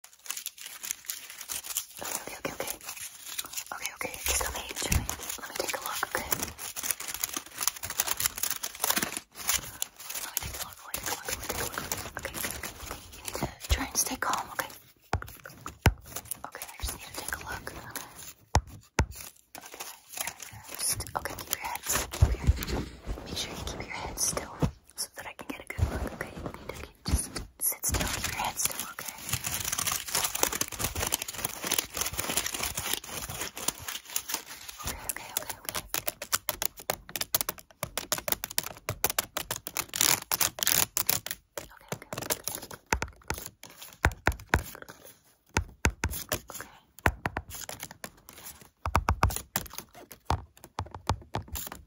Okay, okay, okay, okay. Okay, okay. Just let me, just let me, let me take a look, okay? Let me take a look, let me take a look, let me take a look. Okay, okay, okay. You need to try and stay calm, okay? Okay, I just need to take a look. Okay. Okay, just, okay, keep your head, keep your, make sure you keep your head still so that I can get a good look, okay? You need to just sit still, keep your head still, okay, okay, okay. Okay, okay. Okay. Okay.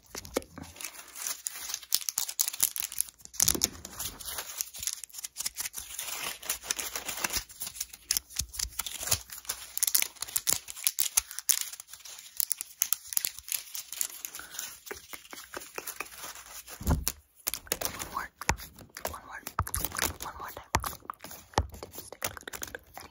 One more, one more, one more time. Stick, stick, stick, stick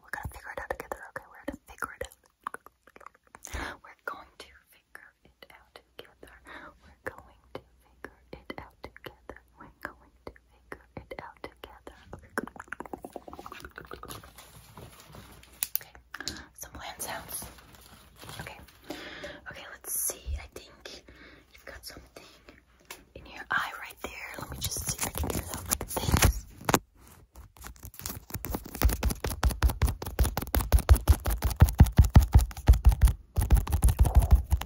we're gonna figure it out together, okay? We're gonna figure it out. We're going to figure it out together. We're going to figure it out together. We're going to figure it out together. Okay, some land sounds. Okay, okay, let's see. I think you've got something in your eye right there. Let me just see if I can get it out like this.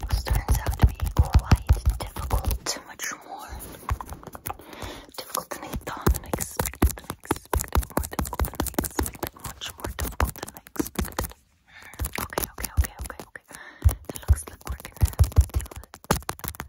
This turns out to be quite difficult, much more difficult than I thought and more difficult than I expected, much more difficult than I expected. Okay, okay, okay, okay, okay. That looks like we're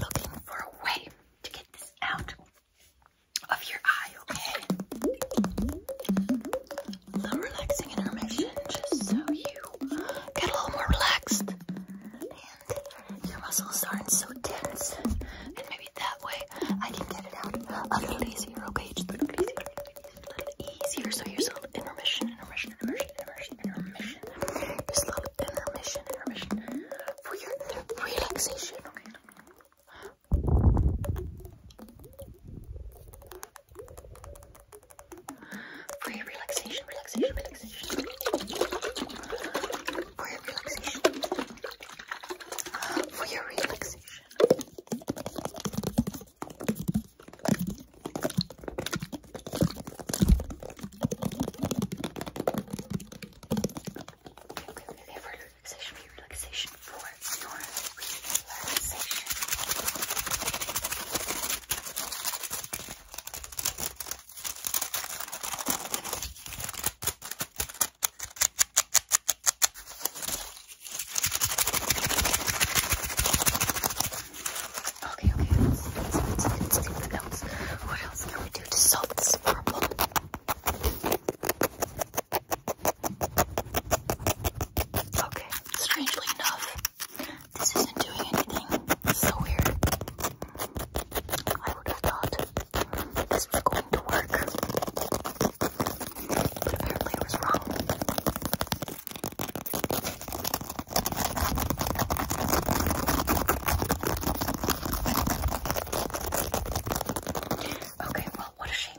looking for a way to get this out of your eye, okay? A little relaxing intermission just so you get a little more relaxed and your muscles aren't so tense. And maybe that way I can get it out of little easier, okay? Just a little easier. So here's a little intermission, intermission, intermission, intermission, intermission. Just a little intermission, intermission for your relaxation. Okay. For your relaxation, relaxation, relaxation. For your relaxation. For your relaxation okay, for relaxation, for relaxation, for your relaxation. Okay, Okay, okay, let's, let's, let's, let the notes. What else can we do to solve this problem? Okay, strangely enough, this isn't doing anything. It's so weird. I would have thought this was going to work, but apparently it was wrong. Okay, well, what a shame.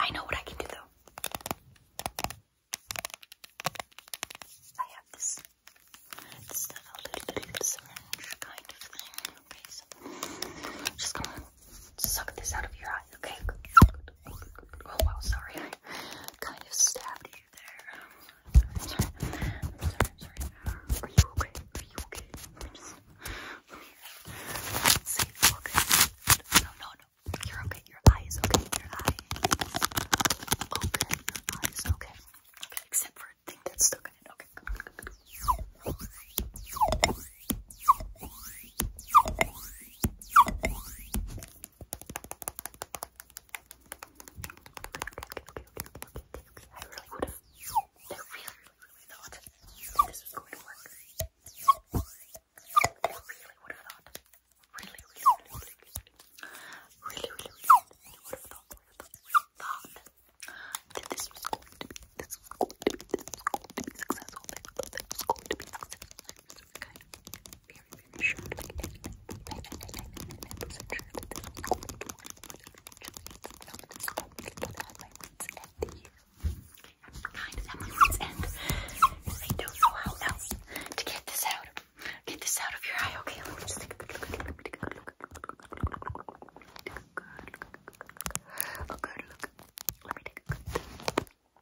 I know what I can do though. I have this, little syringe kind of thing. Okay, so just gonna suck this out of your eye, okay? Oh wow, sorry kind of stabbed you there. Are you okay? Are you okay? Let me No, no, no. You're okay. Your eye is okay. Your eye is okay. okay. except for a thing that's stuck in it. I really would have. I really, really thought this was going to work. I really would have thought. Really, really, really, really, really, really, really would have thought. Thought that this was going to be. This was going to be. This was going to be successful. This was going to be successful. Okay very, very short. I'm kind of at my wits' end. I don't know how else to get this out. Get this out of your eye, okay? Let me just take a look. Take a look. Take a good look. A good look. Let me take a good look.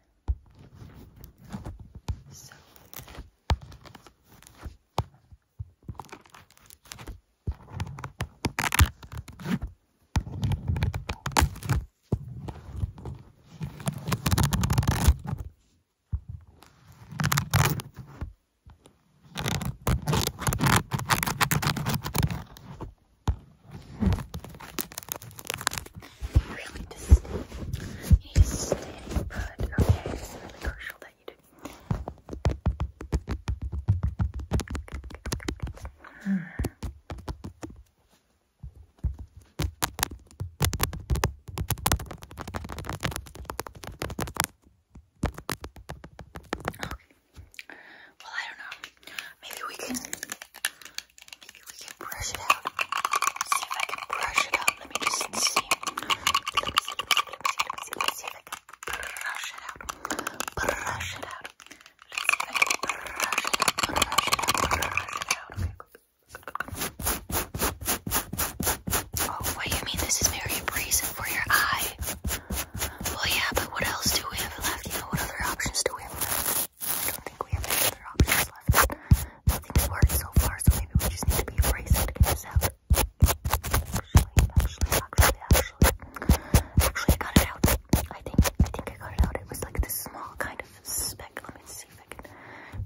So hmm. You really just stay. You need to stay put. Okay, it's really crucial that you do. Hmm. Well, I don't know. Maybe we can Maybe we can brush it out. Let's see if I can brush it out. Let me just see. Let me see, let me see, let me see, let me see. Let's see if I can brush it out. Brush it out. Let's see if I can brush it out. Brush it out. Brush it out. Oh, what do you mean this is very abrasive for your eye? Well, yeah, but what else do we have left? You know, what other options do we have left? I don't think we have any other options left. Nothing's worked so far, so maybe we just need to be abrasive to get this out. Actually, actually, actually, actually, actually, I got it out. I think, I think I got it out. It was like this small kind of speck. Let me see if I can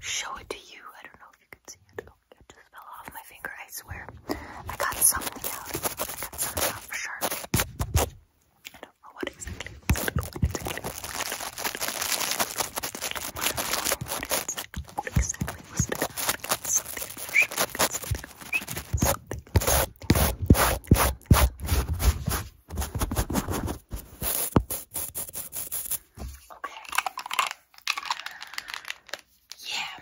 show it to you. I don't know if you can see it. Oh, it just fell off my finger. I swear. I got something out. I got something out I don't know what exactly. I don't know what exactly. What exactly was it? Something emotional. Something emotional. Something. Okay. Yeah.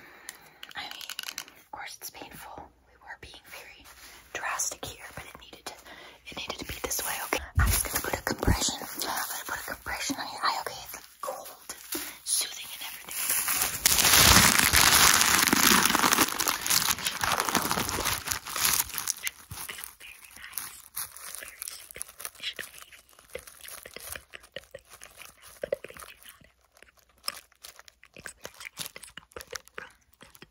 I mean, of course, it's painful. We were being very drastic here, but it needed to it needed to be this way, okay? I'm just gonna put a compression. I'm gonna put a compression on your eye, okay? It's like cold, soothing, and everything. very nice, very soothing. should alleviate the discomfort that you feel but at least you're not experiencing any discomfort from that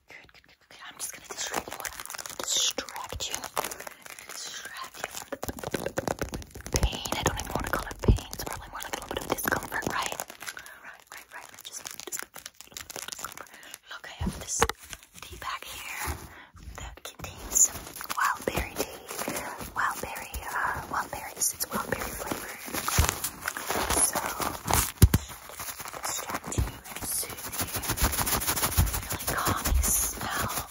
I'm just gonna distract you. Distract you. Distract you from the pain. I don't even want to call it pain. It's probably more like a little bit of discomfort, right? Right, right, right. Just, discomfort. Look, I have this tea bag here that contains some berry tea. Wild Wildberry, uh, berries. It's wild berry flavor. So, distract you soothing, really calming smell.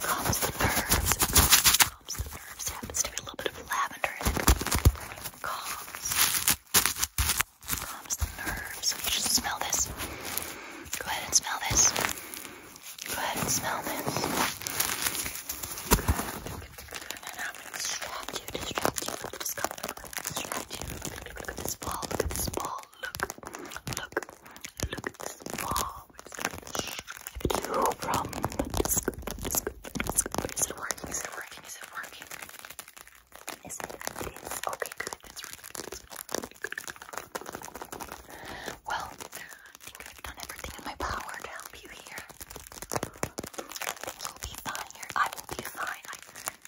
Calms the nerves. Calms the nerves. Happens to be a little bit of lavender Calms. Calms the nerves. So you smell this. Go ahead and smell this. Go ahead and smell this. And I'm going to distract you, distract you, look at this ball, look at this ball, look, look, look at this bomb. It's gonna from the disc, disc, disc. Is it working? Is it working? Is it working? Is it? It is. Okay, good. That's really good. Well, I think I've done everything in my power to help you here. You'll be fine I will be fine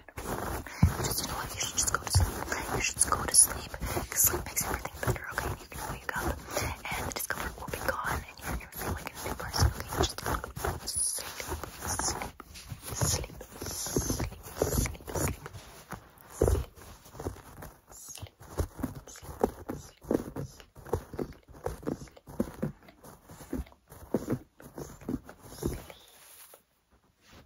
Just you know what? You should just go to sleep. You should just go to sleep. Cause sleep makes everything better, okay? You can wake up and the discomfort will be gone and you're gonna feel like a new person, okay? Just sleep, sleep, sleep, sleep, sleep, sleep. Sleep. Sleep. Sleep. Sleep. Sleep. Sleep. Sleep.